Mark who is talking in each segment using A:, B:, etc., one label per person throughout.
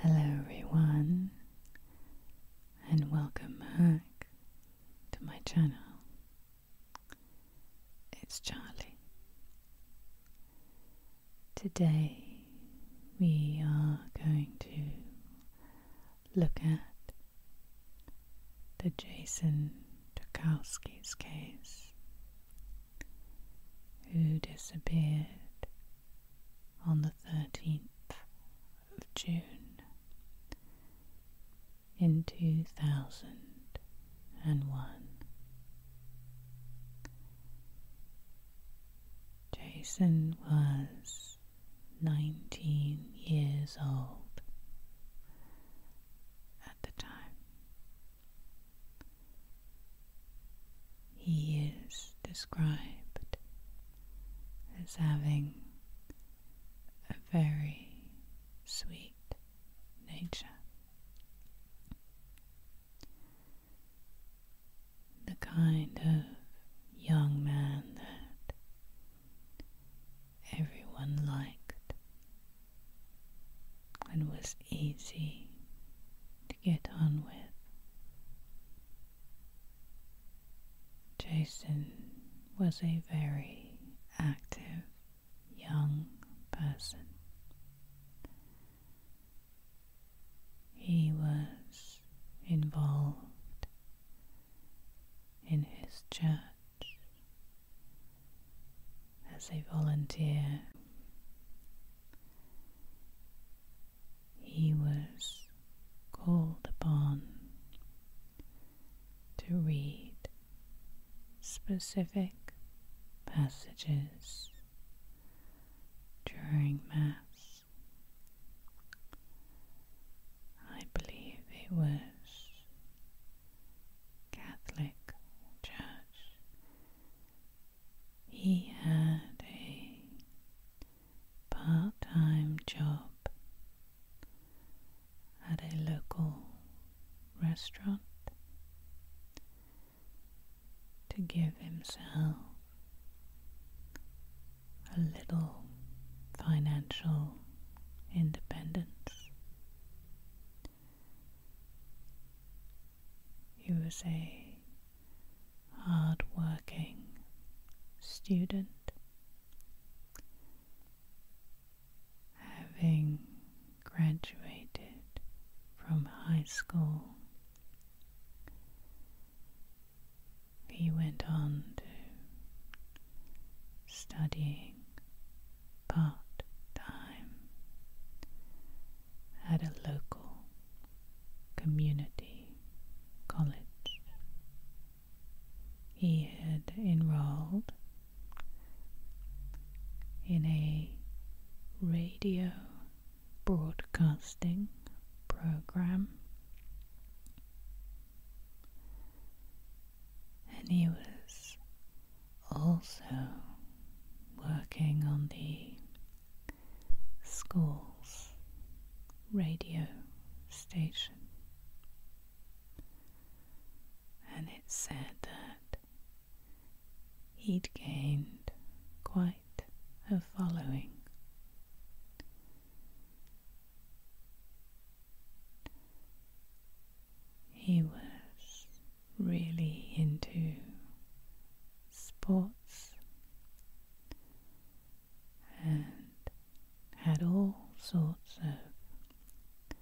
A: Hello, everyone, and welcome back to my channel. It's Charlie. Today, we are going to look at the Jason Tarkowski's case who disappeared on the 13th of June in 2001. Jason was 19 years old at the time. He is described as having a very sweet nature. The kind of young man that everyone liked and was easy get on with. Jason was a very active young person. He was involved in his church as a volunteer he was called upon to read specific passages during Mass. I believe it was Catholic Church he had a part time job at a local restaurant to give himself a little financial independence. He was a hard-working student, having graduated from high school. He went on to studying part time at a local Community College. He had enrolled in a radio broadcasting program and he was also working on the schools, radio station. And it said that he'd gained quite a following. He was really into sports and had all sorts of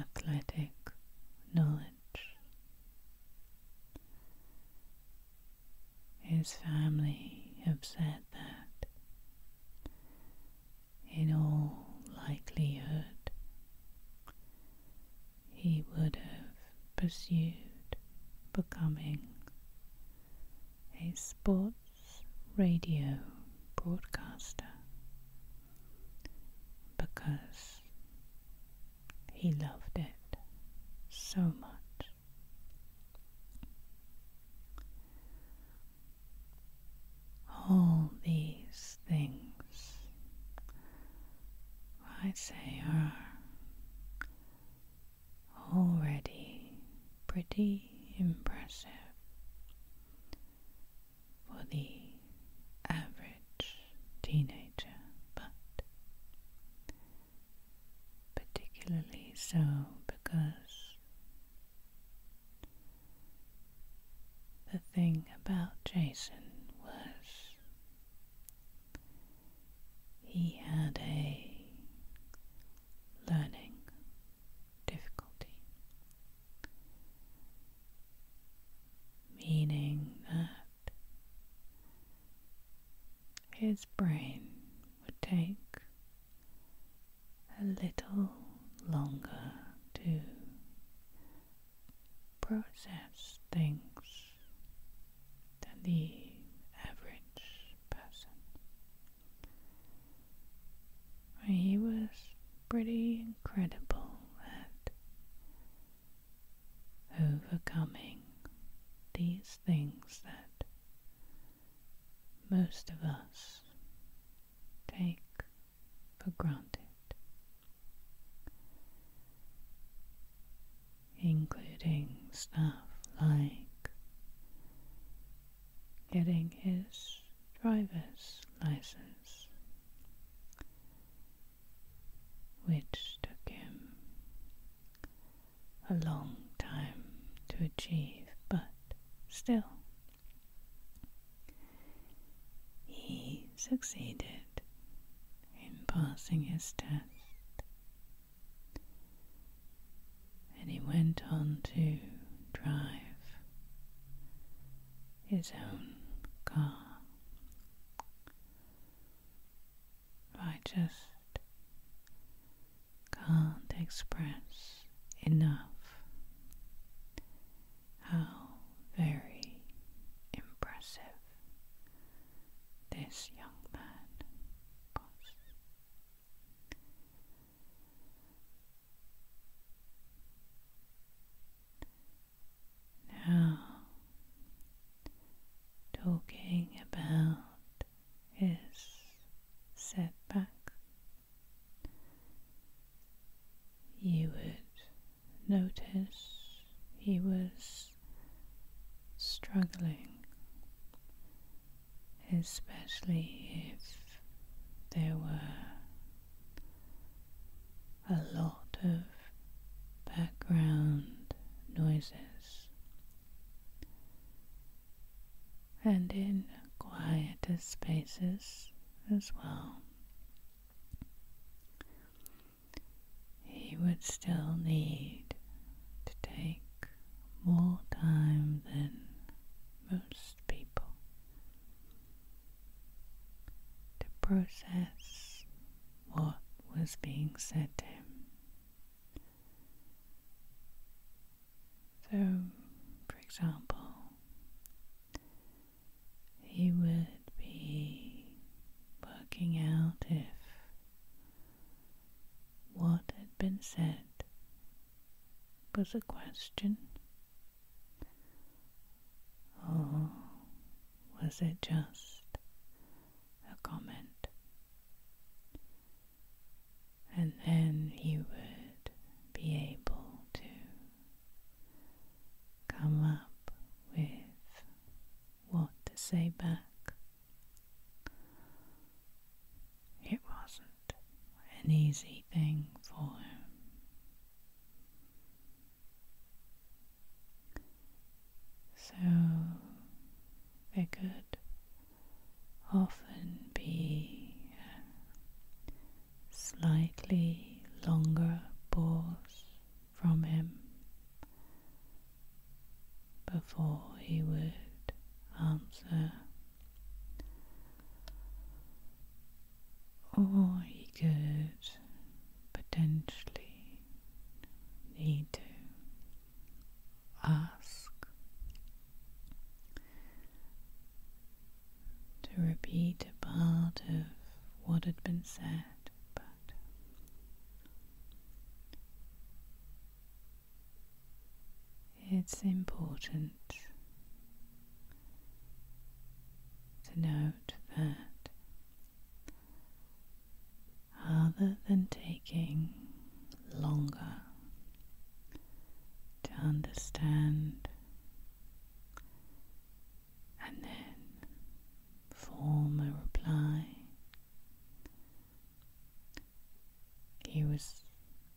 A: athletic knowledge. His family have said that in all likelihood he would have pursued becoming a sports radio broadcaster because he loved it so much. All these things i say are already pretty impressive for the average teenager, but particularly so because the thing about Jason was he had a learning difficulty, meaning that his brain would take a little longer to process things than the average person. He was pretty incredible at overcoming these things that most of us take for granted including stuff like getting his driver's license, which took him a long time to achieve, but still. He succeeded in passing his test. And he went on to drive his own car I just can't express enough how very impressive this young man was. Now, talking about his setback, you would notice he was struggling, especially if there were a lot of background noises. And in quieter spaces as well he would still need to take more time than most people to process what was being said to him. So, for example, he would be working out if what had been said was a question, or was it just a comment? And then he would be able to come up with what to say back. It wasn't an easy thing for him. So they could often be slightly longer pause from him before he would answer. Or he could potentially need to ask to repeat a part of what had been said, but it's important to note that other than taking longer to understand and then form a reply he was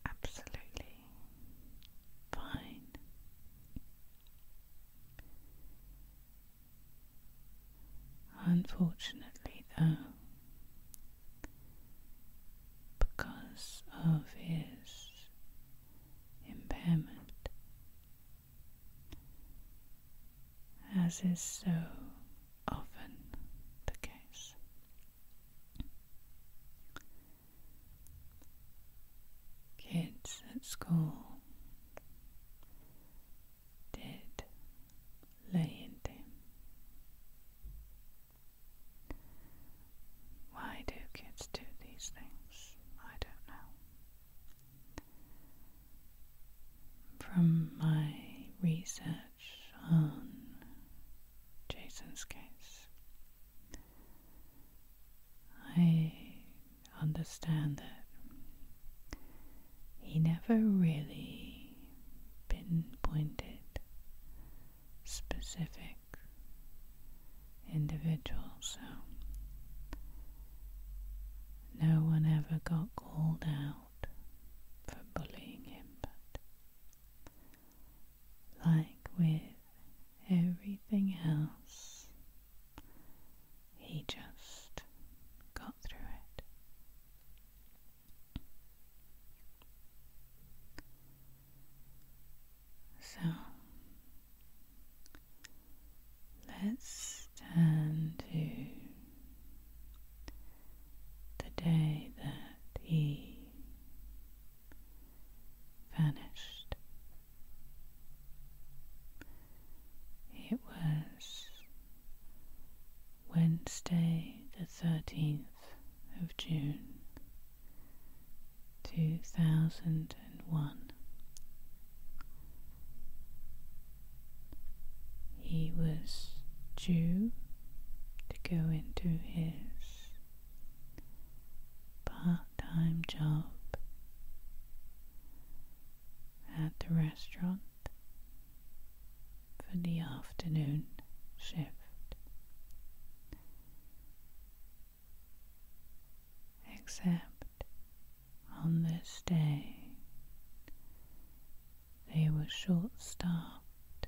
A: absolutely fine. Unfortunately, though, because of his impairment, as is so often the case. Kids at school did lay into Why do kids do these things? I don't know. From my research on Jason's case, I understand that he never really pinpointed specific individuals, so no one ever got called out for bullying him, but like with everything else, he just got through it. So let's turn to the day that he vanished. It was Wednesday, the 13th of June, 2001 he was due to go into his part time job at the restaurant for the afternoon shift. Except on this day. They were short staffed,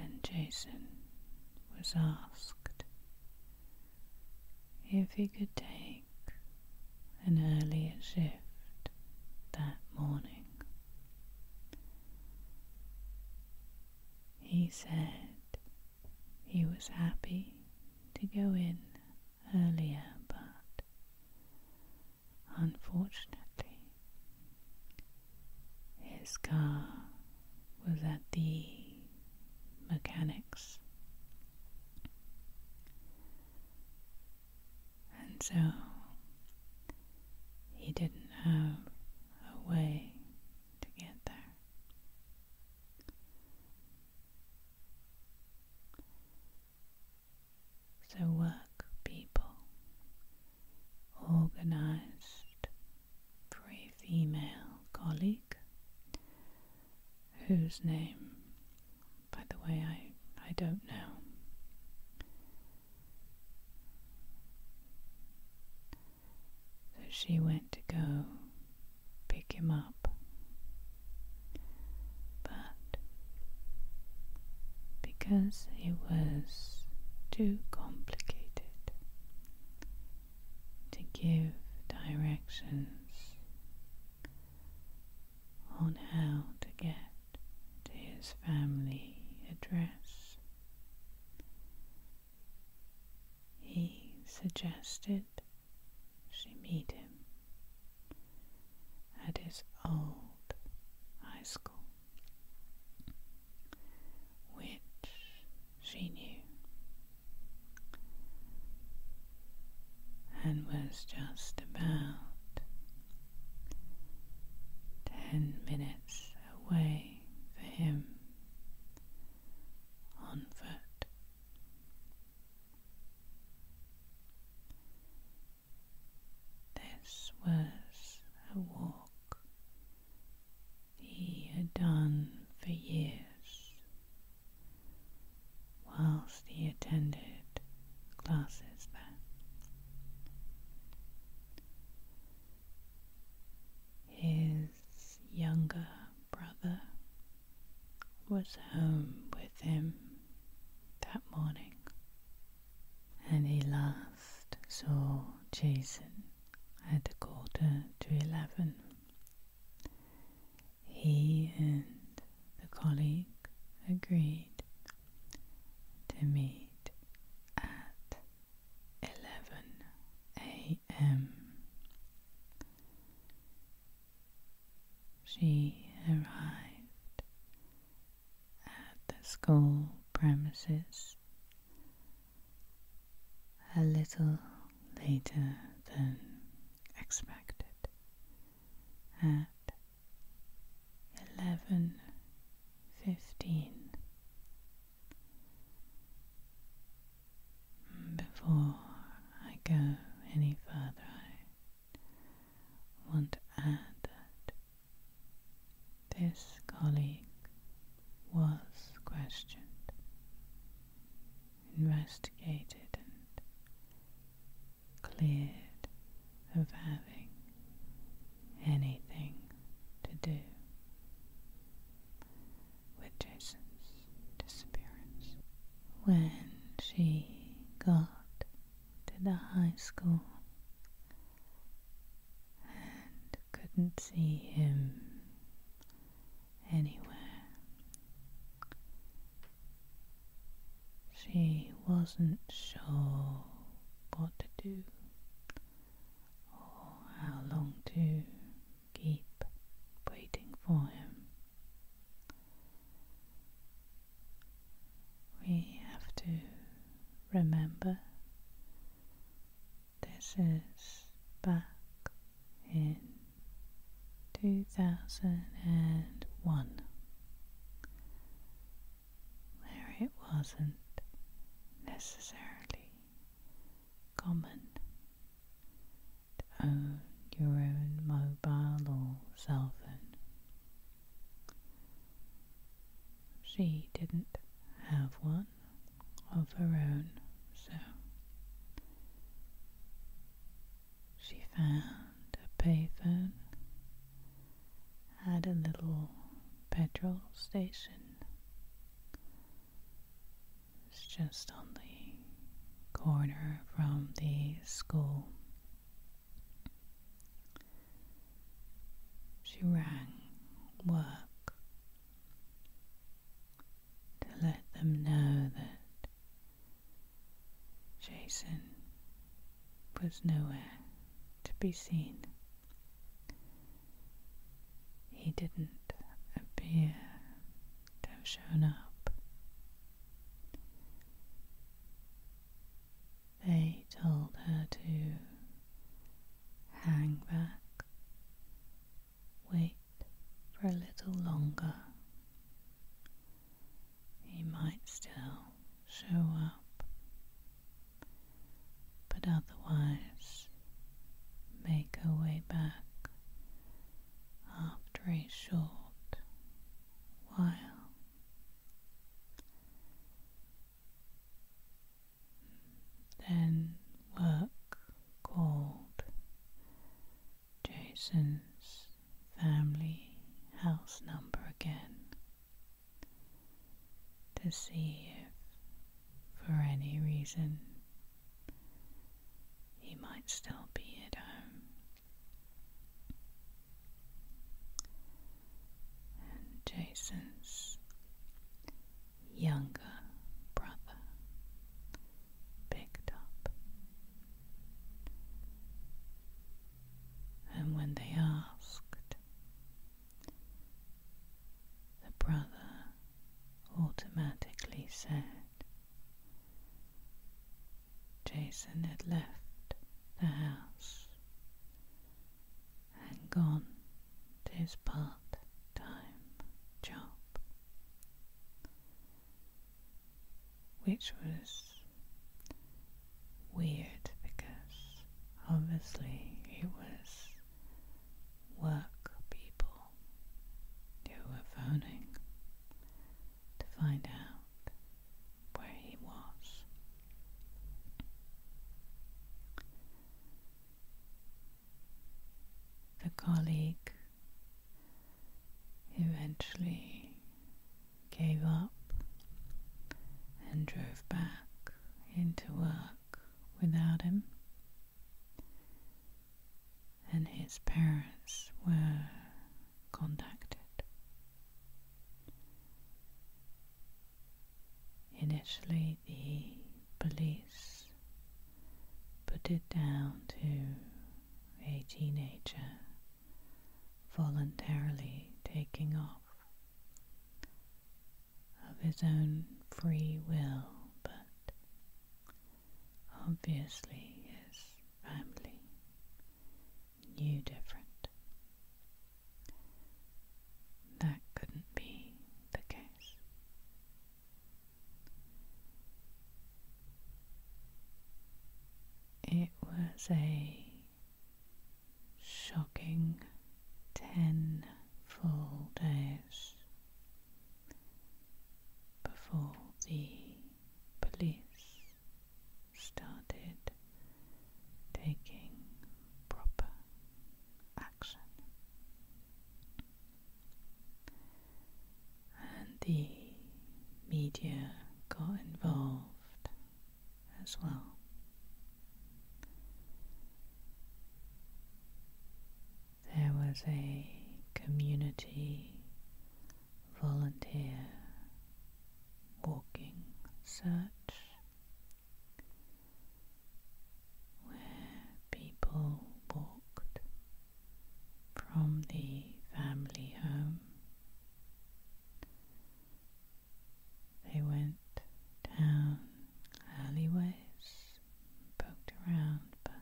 A: and Jason was asked if he could take an earlier shift that morning. He said he was happy to go in earlier, but unfortunately, his car was at the mechanics. And so he didn't have a way to get there. So, work people, organized for a female colleague whose name, by the way, I, I don't know. So she went to go pick him up but because it was too complicated to give directions on how to get to his family address, he suggested she met him at his old high school, which she knew and was just about ten minutes away for him on foot. This was a walk he had done for years whilst he attended classes there. His younger brother was home with him that morning, and he last saw Jason at a quarter to eleven. He and the colleague agreed to meet at 11 a.m she arrived at the school premises a little later than expected at 11.15 before I go any further want to add that this colleague was questioned, investigated, and cleared of having anything to do with Jason's disappearance. When she got to the high school and couldn't see him anywhere. She wasn't sure what to do or how long to keep waiting for him. We have to remember this is back in 2001 where it wasn't necessarily common to own your own mobile or cell phone. She didn't have one of her own, so she found a payphone at a little petrol station. It's just on the corner from the school she rang work to let them know that Jason was nowhere to be seen. He didn't appear to have shown up they told her to hang back, wait for a little longer. He might still show up, but otherwise, make her way back after a short while. Then work called Jason's family house number again to see if, for any reason, he might still be at home. Jason's younger brother, Big Top. And when they asked, the brother automatically said, Jason had left the house and gone to his part time job, which was weird because obviously it was work people who were phoning to find out where he was. The colleague eventually gave up and drove back into work without him. And his parents were contacted. Initially, the police put it down to a teenager voluntarily taking off of his own free will, but obviously his family New, different. That couldn't be the case. It was a shocking ten full days before the police started taking proper action. And the media got involved as well. There was a community volunteer walking search where people walked from the family home. They went down alleyways, poked around, but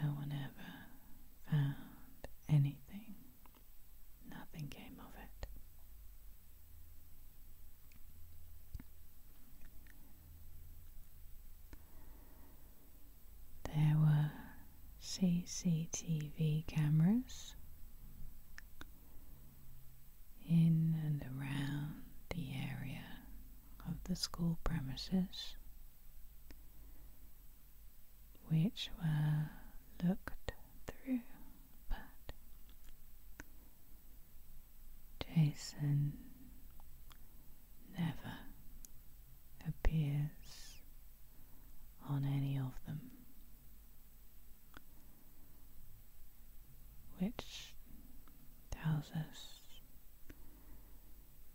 A: no one ever found anything. Nothing came of it. There were CCTV cameras in and around the area of the school premises which were looked through, but Jason never appears on any of them, which tells us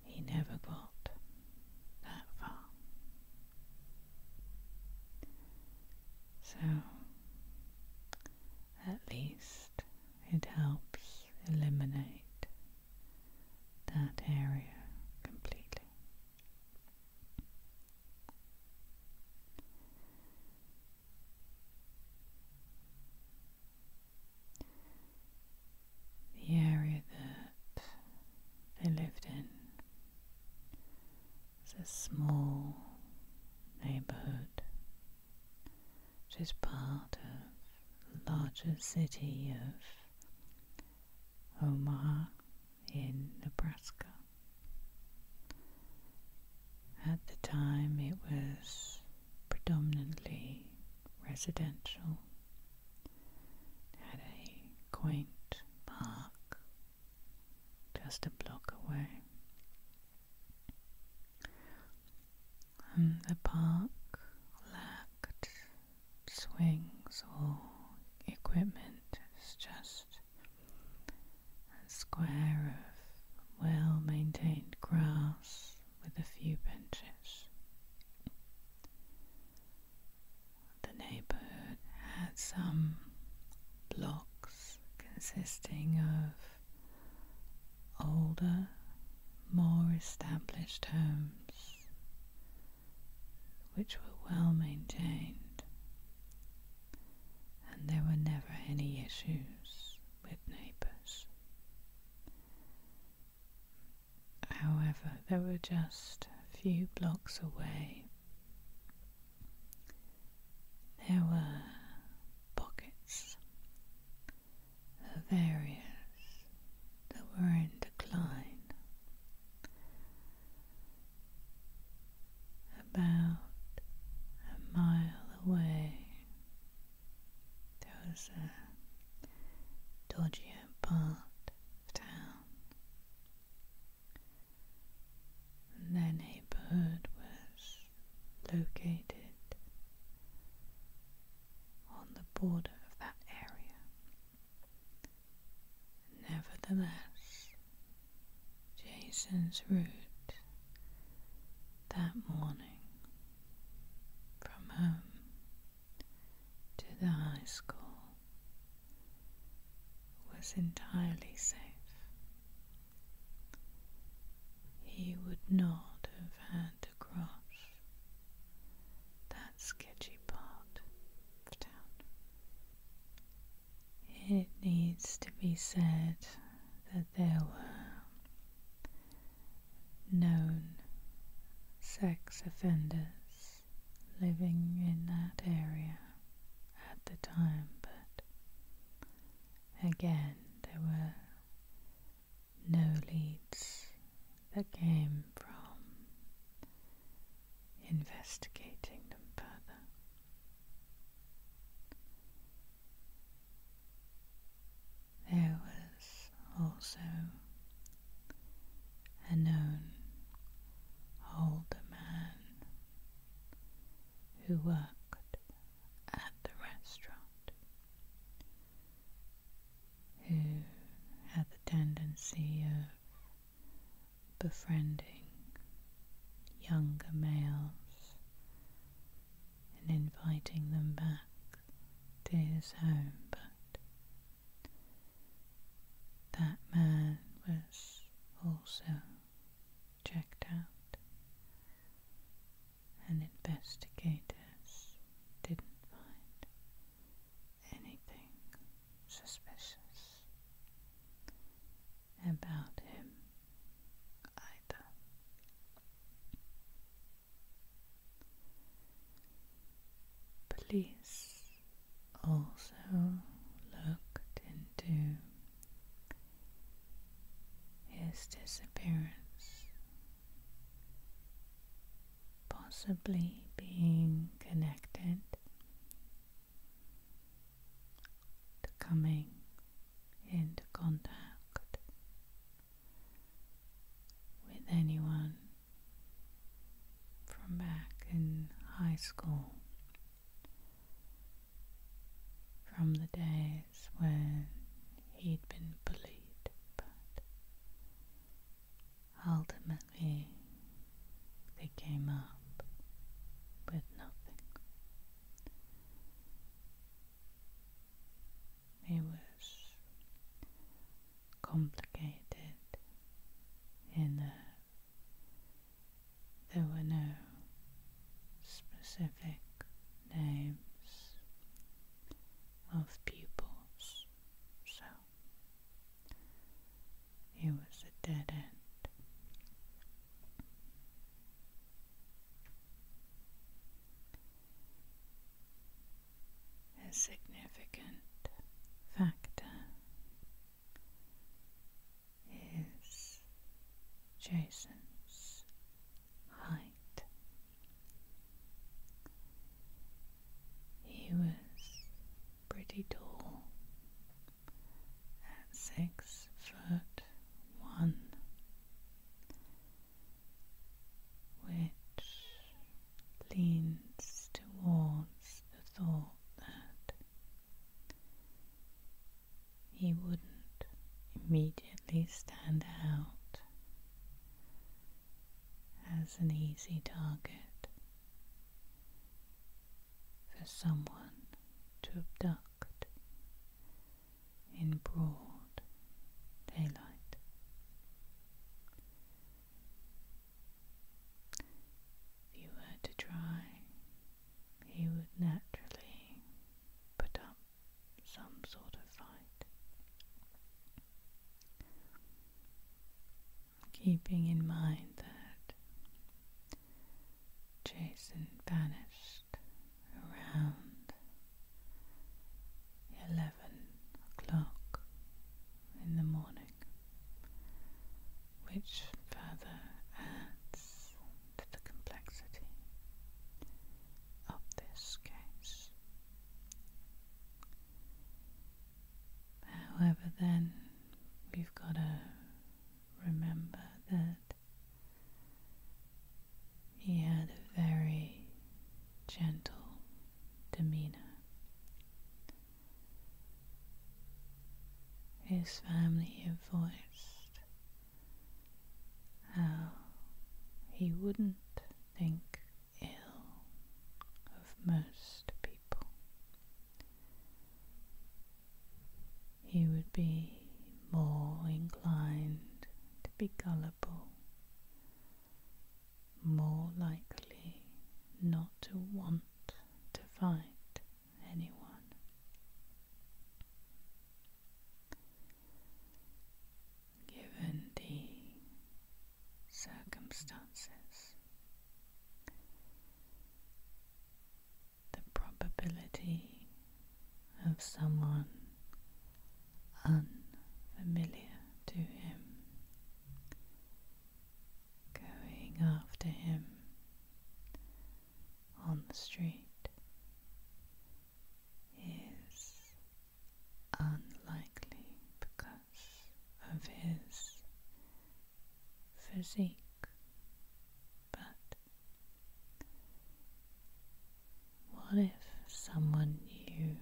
A: he never got that far. So, at least it helps eliminate that area completely the area that they lived in. is a small neighborhood, which is part of the larger city of Omaha in Nebraska. At the time, it was predominantly residential at a quaint park just a block away. And the park lacked swings or equipment, it's just a square of well maintained grass with a few benches. The neighborhood had some blocks consisting of older, more established homes which were well maintained, and there were never any issues with neighbors. However, there were just a few blocks away. There were pockets of areas that were in decline. About a mile away, there was a dodgier part town. And their neighborhood was located on the border of that area. Nevertheless, Jason's route that morning from home to the high school was entirely safe. He would not have had to cross that sketchy part It needs to be said that there were known sex offenders living in that area at the time, but again, there were no leads that came from investigating them further. There was also a known older man who worked at the restaurant, who had the tendency of befriending younger males and inviting them back to his home, but that man was also checked out, and investigators didn't find anything suspicious about him either. Police also looked into his disappearance, possibly being connected to coming into contact with anyone from back in high school, from the days when he'd been bullied, but ultimately they came up with nothing. It was complicated in uh, there were no specific names of pupils, so it was a dead end a significant factor is Jason's height. He was pretty tall at six foot one, which leans towards the thought that he wouldn't immediately stand out as an easy target for someone to abduct in broad daylight. If you were to try, he would naturally put up some sort of fight. Keeping in mind that Jason vanished around eleven o'clock in the morning which further adds to the complexity of this case. However, then we've got to remember that he had a very gentle demeanor his family have voiced how he wouldn't think ill of most people. He would be more inclined to be gullible, more likely not to want to find anyone. Given the circumstances, the probability of someone unfamiliar to him going after him on the street is unlikely because of his physique, but what if someone knew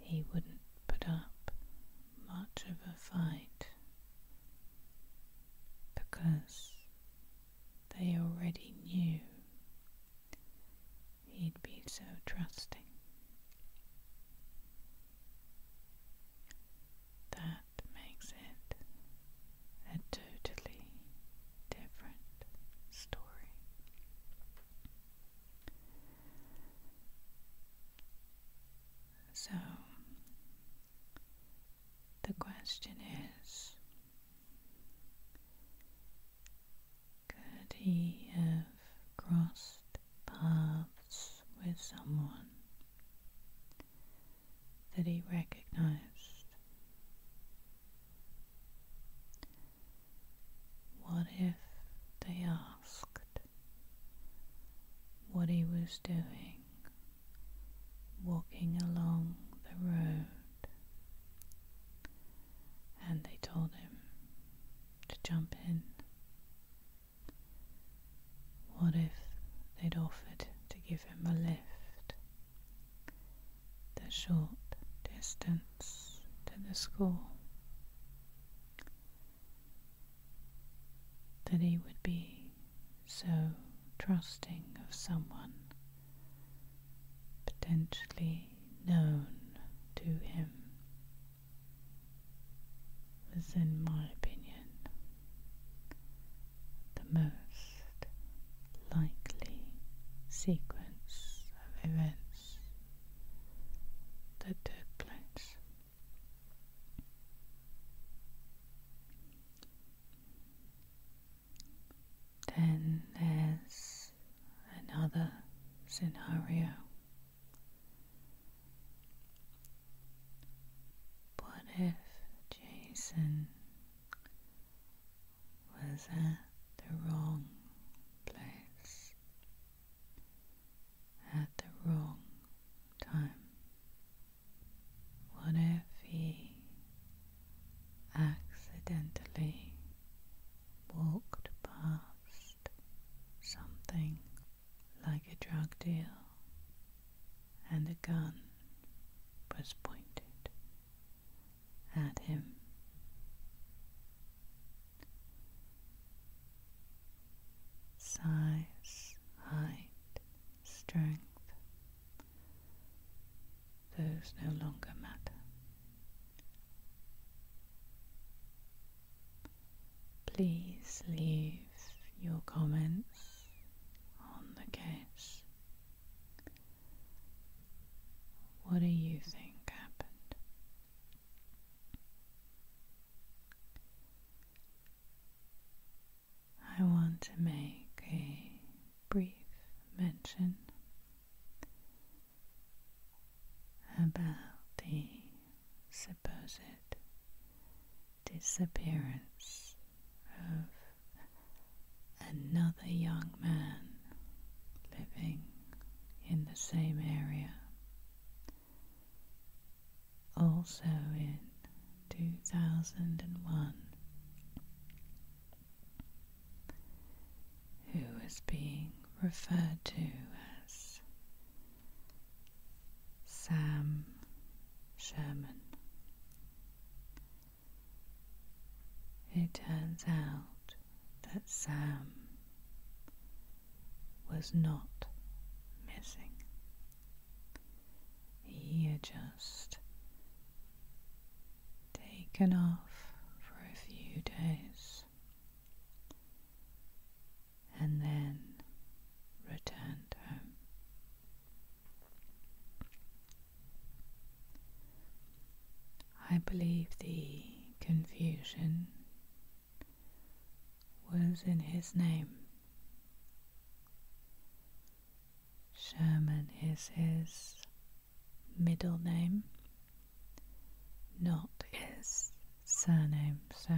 A: he wouldn't put up much of a fight because they already knew he'd be so trusting. That makes it a totally different story. So, the question is could he have crossed paths with someone that he recognized? What if they asked? what he was doing, walking along the road, and they told him to jump in. What if they'd offered to give him a lift the short distance to the school? that he would be so trusting of someone potentially known to him was, in my opinion, the most likely sequence of events that took place. Then there's another scenario. What if Jason was at the wrong place? at the wrong time? What if he accidentally walked past something like a drug deal and a gun was pointed at him? size, height, strength, those no longer matter. Please leave your comments on the case. What do you think happened? I want to make a brief mention about the supposed disappearance of another young man living in the same area also in 2001, who was being referred to as Sam Sherman. It turns out that Sam was not missing. He had just taken off for a few days and then returned home. I believe the confusion was in his name. Sherman is his middle name, not his surname, so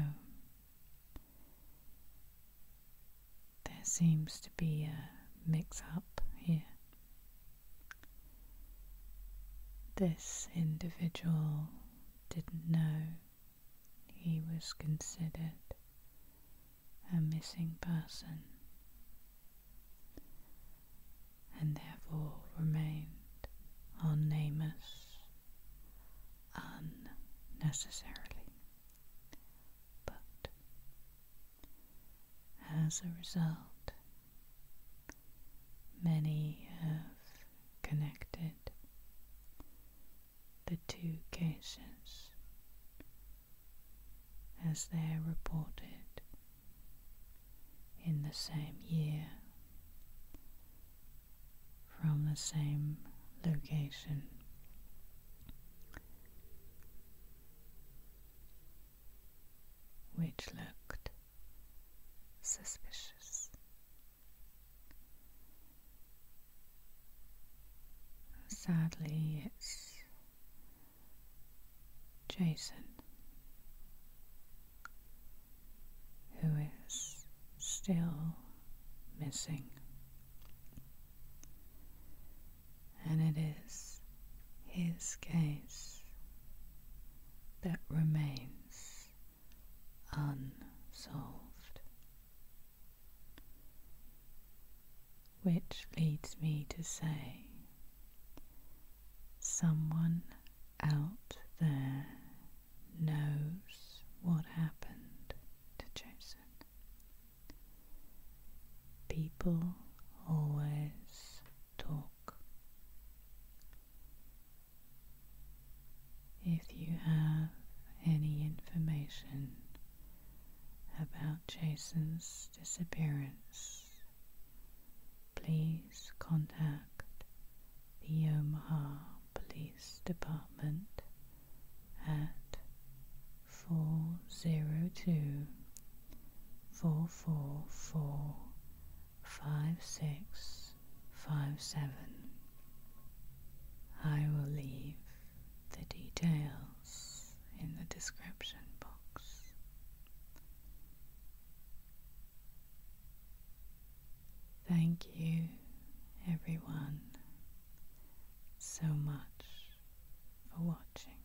A: there seems to be a mix up here. This individual didn't know he was considered a missing person and therefore remained on Namus unnecessarily. But as a result, many of connected the two cases as they're reported in the same year from the same location. Which looked suspicious Sadly, it's Jason who is still missing. And it is his case that remains unsolved. Which leads me to say, someone out there knows what happened to Jason. People always talk. If you have any information about Jason's disappearance, please contact the Omaha Police Department at 402 5 7. I will leave the details in the description box. Thank you, everyone, so much for watching.